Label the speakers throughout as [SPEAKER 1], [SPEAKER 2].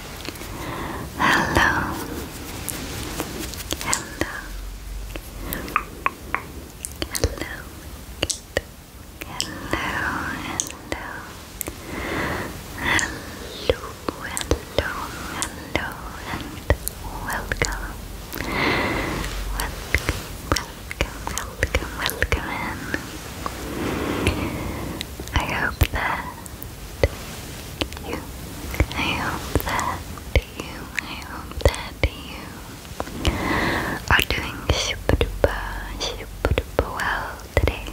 [SPEAKER 1] Hello. Hello. Hello. Hello. Hello. Hello. Hello. Hello. And welcome. Welcome. Welcome. Welcome. Welcome in. I hope that you. I hope that you, I hope that you are doing super duper, super duper well today.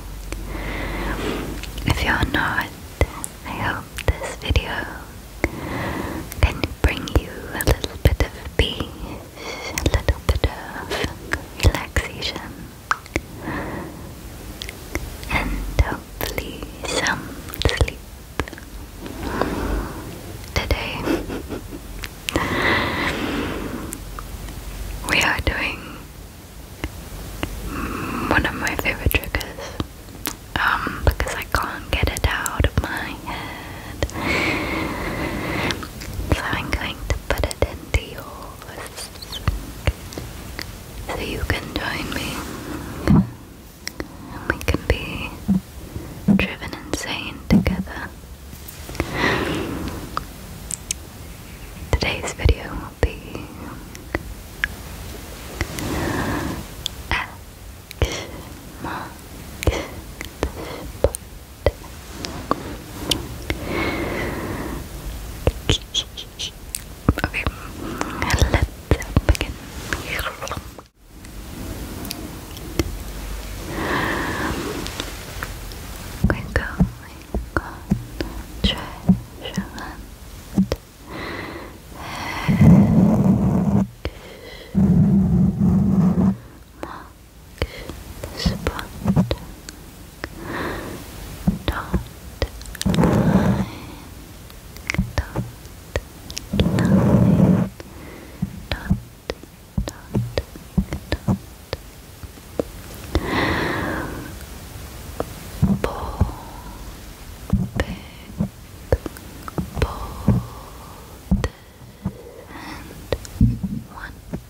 [SPEAKER 1] If you're not, I hope this video can bring you a little bit of peace, a little bit of relaxation and hopefully some sleep today. we are doing one of my favorite triggers um, because I can't get it out of my head. So I'm going to put it into yours so you can join me and we can be driven insane together. Today's video will be X marks the Okay, let's begin. We're going on treasure hunt. Mark the spot. Mark don't lie. Don't lie. Don't, don't, don't. Perfect. Bold and one time.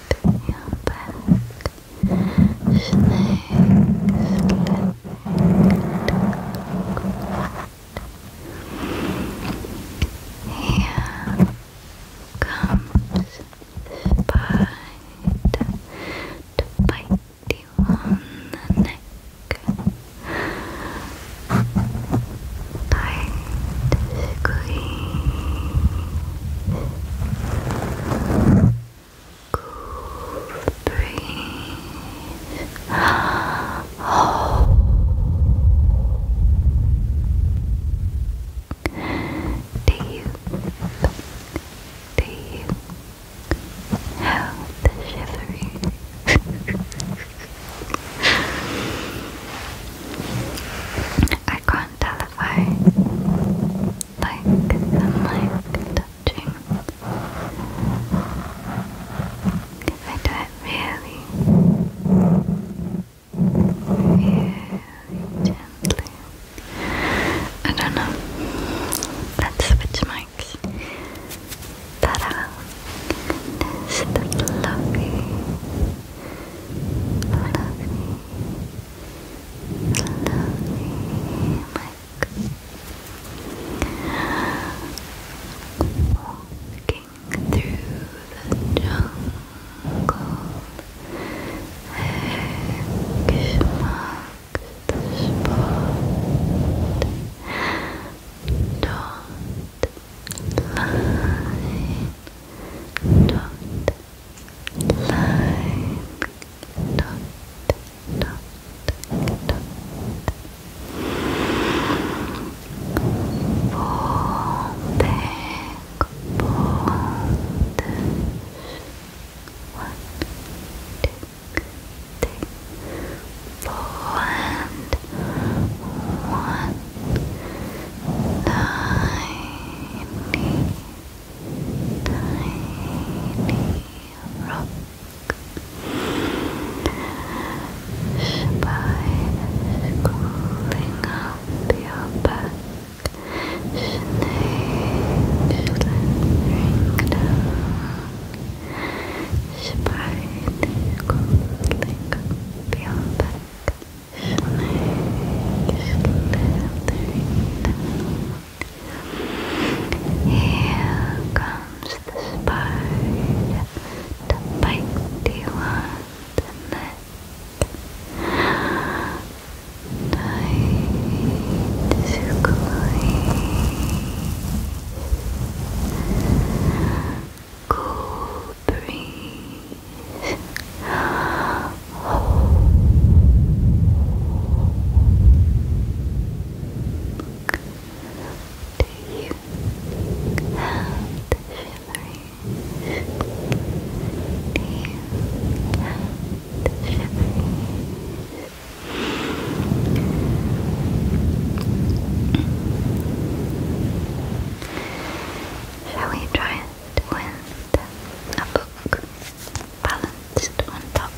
[SPEAKER 1] your back. Snakes slitting Here comes spider to bite you on the neck. Tight squeeze Breathe. Oh. Deep, deep. How the shivering. I on telephone, like the mic touching. I don't really, really gently. I don't know. Let's switch mics. Ta-da! This Lovely, like walking through the jungle, eggs the spot. Dot line, dot line, dot, dot, dot. Folding, fold. One, two, three, four, and one tiny, tiny rock spine cooling up your back snake slithering down spine cooling up your down. Here comes the spider to bite you on Night is clean. Cool breathe. Do you have shivering? Do you have shivering? Shall we try it with a book balanced on top.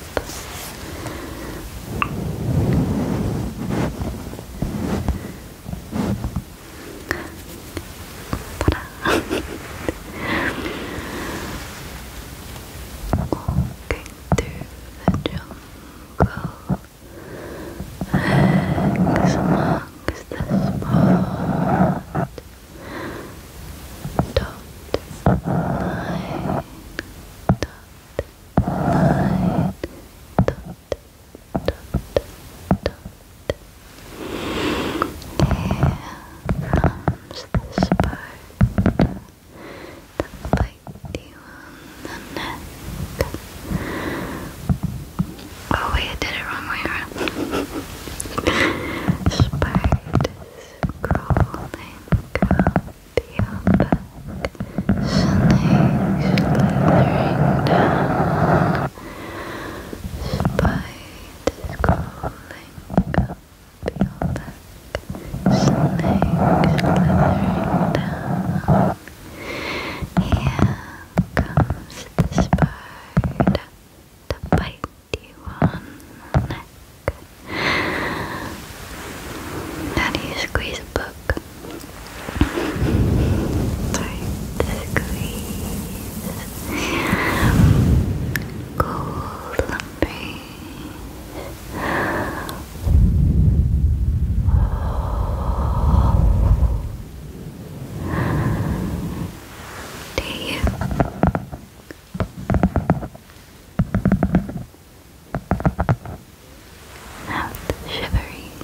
[SPEAKER 1] Walking through the jungle, amongst the spot dot line dot line dot dot dot here comes this part that bites you on the Oh wait, I did it wrong way around. Spiders crawling up your back. Snakes slithering down. Spiders crawling up your back. Snakes slithering down. Here comes the spider to bite you the neck. How do you squeeze book? Sorry, squeeze. Cold lumbery. Do you? Have shiveries.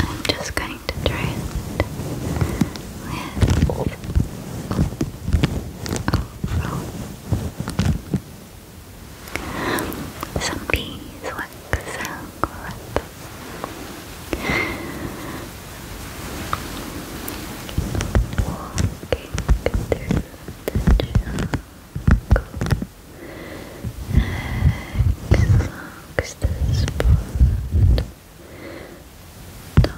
[SPEAKER 1] I'm just going to try it some beeswax and crap. Walking through the jungle amongst this spot. Not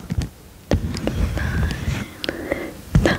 [SPEAKER 1] line, not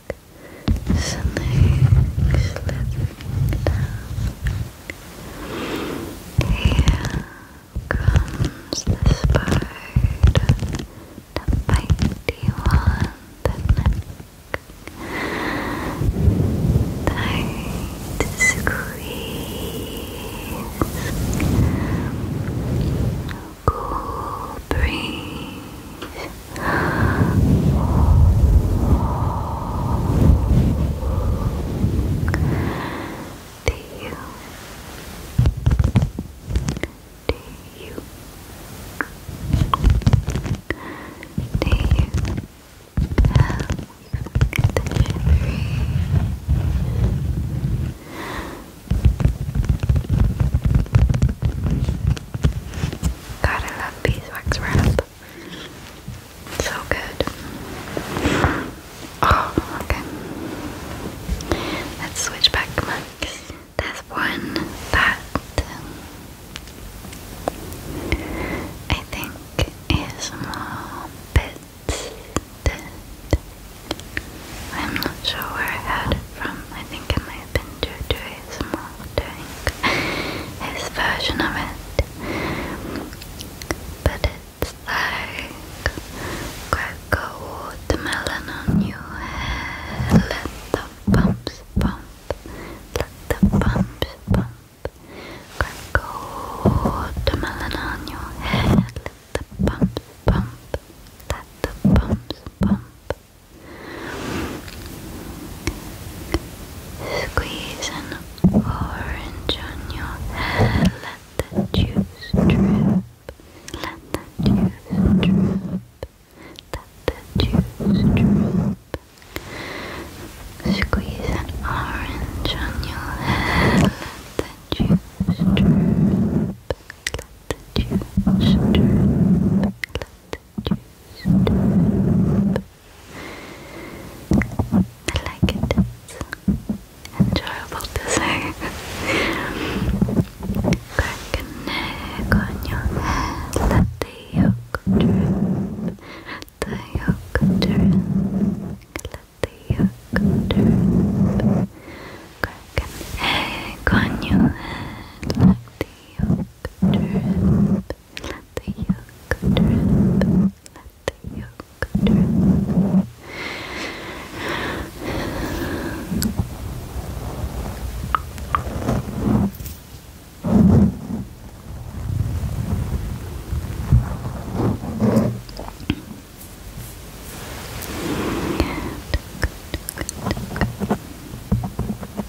[SPEAKER 1] snake slipping down. Here comes the spider, the one, the neck. Tight to squeeze. Cool breeze. Do you? Do you? Do you the memory? God, I love beeswax wrap. So good. Oh, okay. Let's switch back, Max. There's one that I think is more bit I'm not sure where I had it from, I think it might have been Joe Durismo doing his version of it. But it's like crack a watermelon on your head, let the bumps bump, let the bumps bump. Crack a watermelon on your head, let the bumps bump, let the bumps bump. Squeeze an orange on your hair. Let the juice drip. Let the juice drip. Let the juice drip. Squeeze an orange on your head. Let the juice drip. Let the juice drip. Let to sleep. I like it. It's enjoyable to say. Crack a neck on your head. Let the yolk drip. The yolk drip. Let the yolk drip. Crack an egg on your head. Let the drip. Let the yolk drip. Let the yolk drip. Good, good, good, good.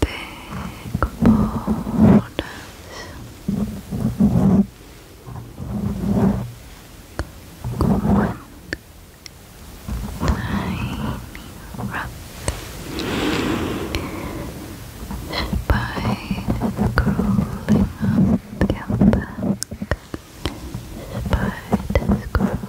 [SPEAKER 1] big boulders. One tiny rock spider crawling up your back. Spiders crawling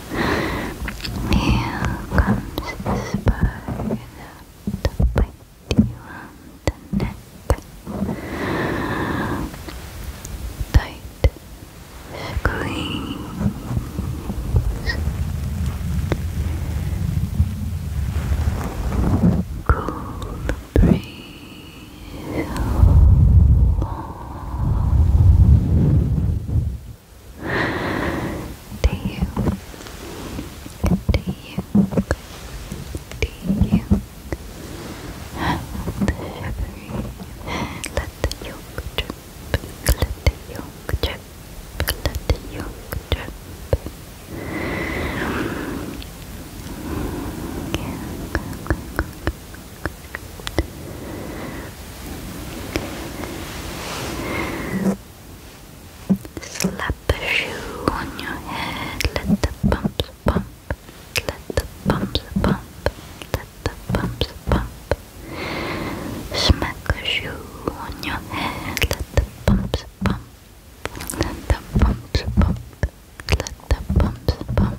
[SPEAKER 1] Here comes the spider to bite you on the neck. Tight squeeze. Cool breeze. Warm do you? Do you? Do you? Let the yolk drip. Let the yolk drip. Let the yolk drip. Slap a shoe on your head, let the bumps bump, let the bumps bump, let the bumps bump. Smack a shoe on your head, let the bumps bump, let the bumps bump, let the bumps bump.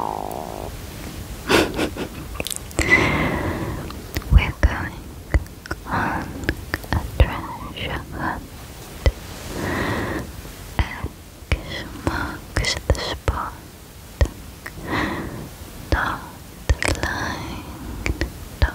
[SPEAKER 1] Oh. We're going on a treasure hunt. X marks the spot. Dot line. Dot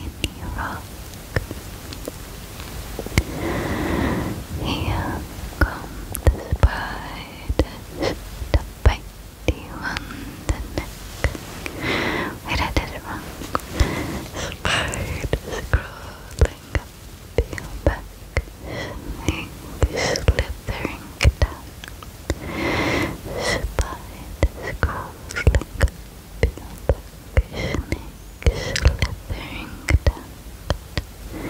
[SPEAKER 1] in Iraq. Here come the spiders to bite you on the neck. Wait, I did it wrong. Spiders crawling up your back, snakes slithering down. Spiders crawling up your back snake slithering down.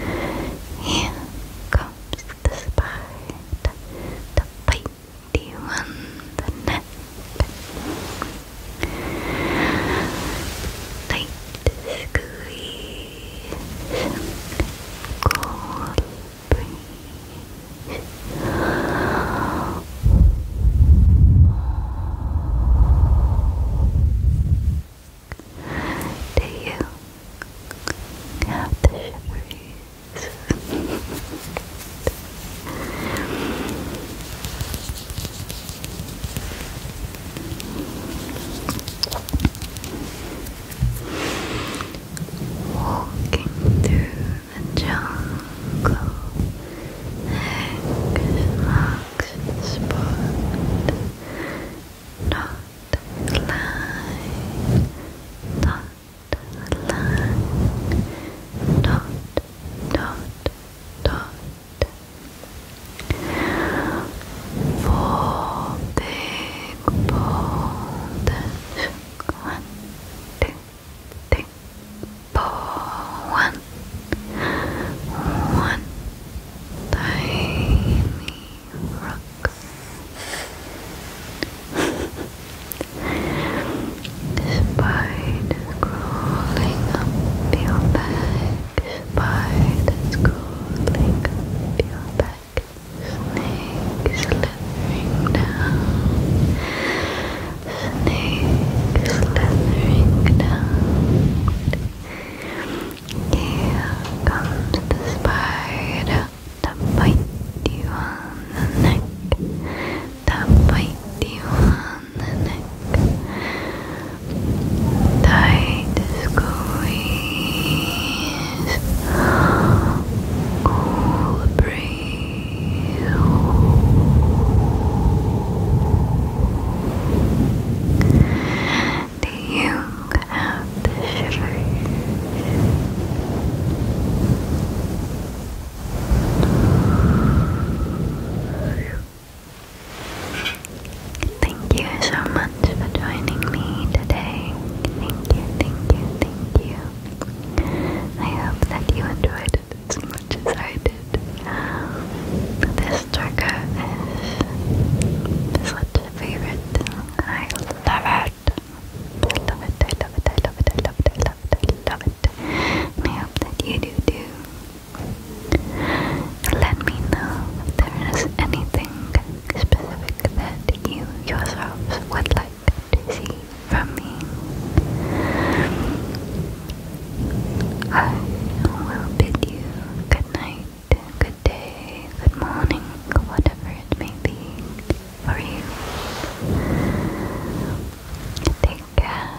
[SPEAKER 1] Here comes the spider to bite you on the neck. cold breeze. Do you have the shivers? Walking through the jungle, eggs relaxed spot. Not lie, not lie, dot, dot, dot. Four big boulders, one, two, three, one, one tiny rock. Spiders crawling up your back. Spiders crawling up your back. Snakes slithering down. Snake slithering down. Here comes the spider to bite you on the neck. To bite you on the neck. Tight squeeze. Cool breeze. Thank you so much for joining me today. Thank you, thank you, thank you. I hope that you enjoyed as much as I did. This trigger is such a favorite. I love it. I love it, I love it, I love it, I love it, I love it, I hope that you do too. Let me know if there is anything specific that you yourselves would like to see from me. I will bid you good night, good day, good morning, whatever it may be for you. Take care,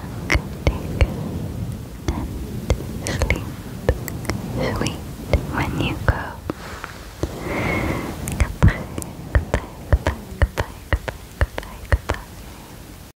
[SPEAKER 1] take care, and sleep sweet when you go. Goodbye, goodbye, goodbye, goodbye, goodbye, goodbye.